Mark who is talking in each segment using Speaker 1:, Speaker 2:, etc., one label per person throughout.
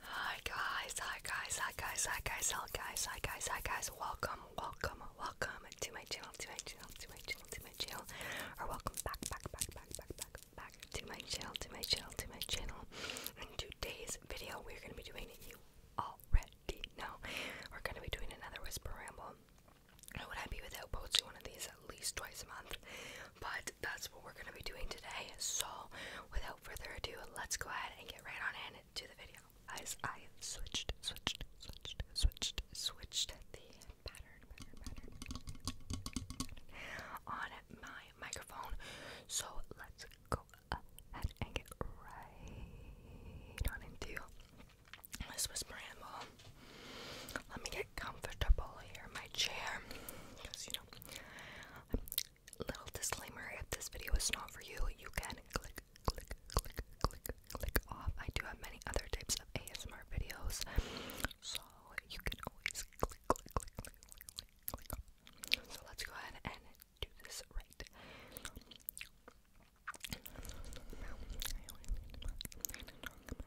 Speaker 1: Hi guys, hi guys, hi guys, hi guys, hi guys, hi guys, hi guys, welcome, welcome, welcome to my channel, to my channel, to my channel, to my channel, or welcome back, back, back, back, back, back, back to my channel, to my channel, to my channel. In today's video, we're going to be doing, you already know, we're going to be doing another Whisper Ramble. Would I be without posting one of these at least twice a month? But that's what we're going to be doing today. So, without further ado, let's go ahead and get right on in to the video. Guys, I switched, switched, switched, switched, switched the pattern, pattern, pattern, pattern on my microphone. So, let's go ahead and get right on into this whisper ramble. Let me get comfortable here in my chair because you know Little disclaimer if this video is not for you, you can click, click, click, click, click off. I do have many other types of ASMR videos, so you can always click, click, click, click, click, click off. So let's go ahead and do this right. Now, I only need to talk about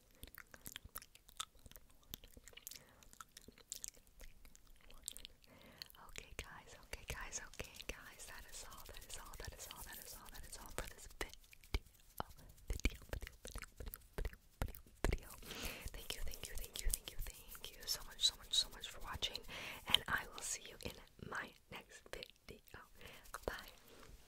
Speaker 1: Okay, guys, okay, guys, okay, guys, that is all, that is all, that is all, that is all, that is all for this video. Video, video, video, video, video, video, Thank you, thank you, thank you, thank you, thank you so much, so much, so much for watching, and I will see you in my next video. Bye.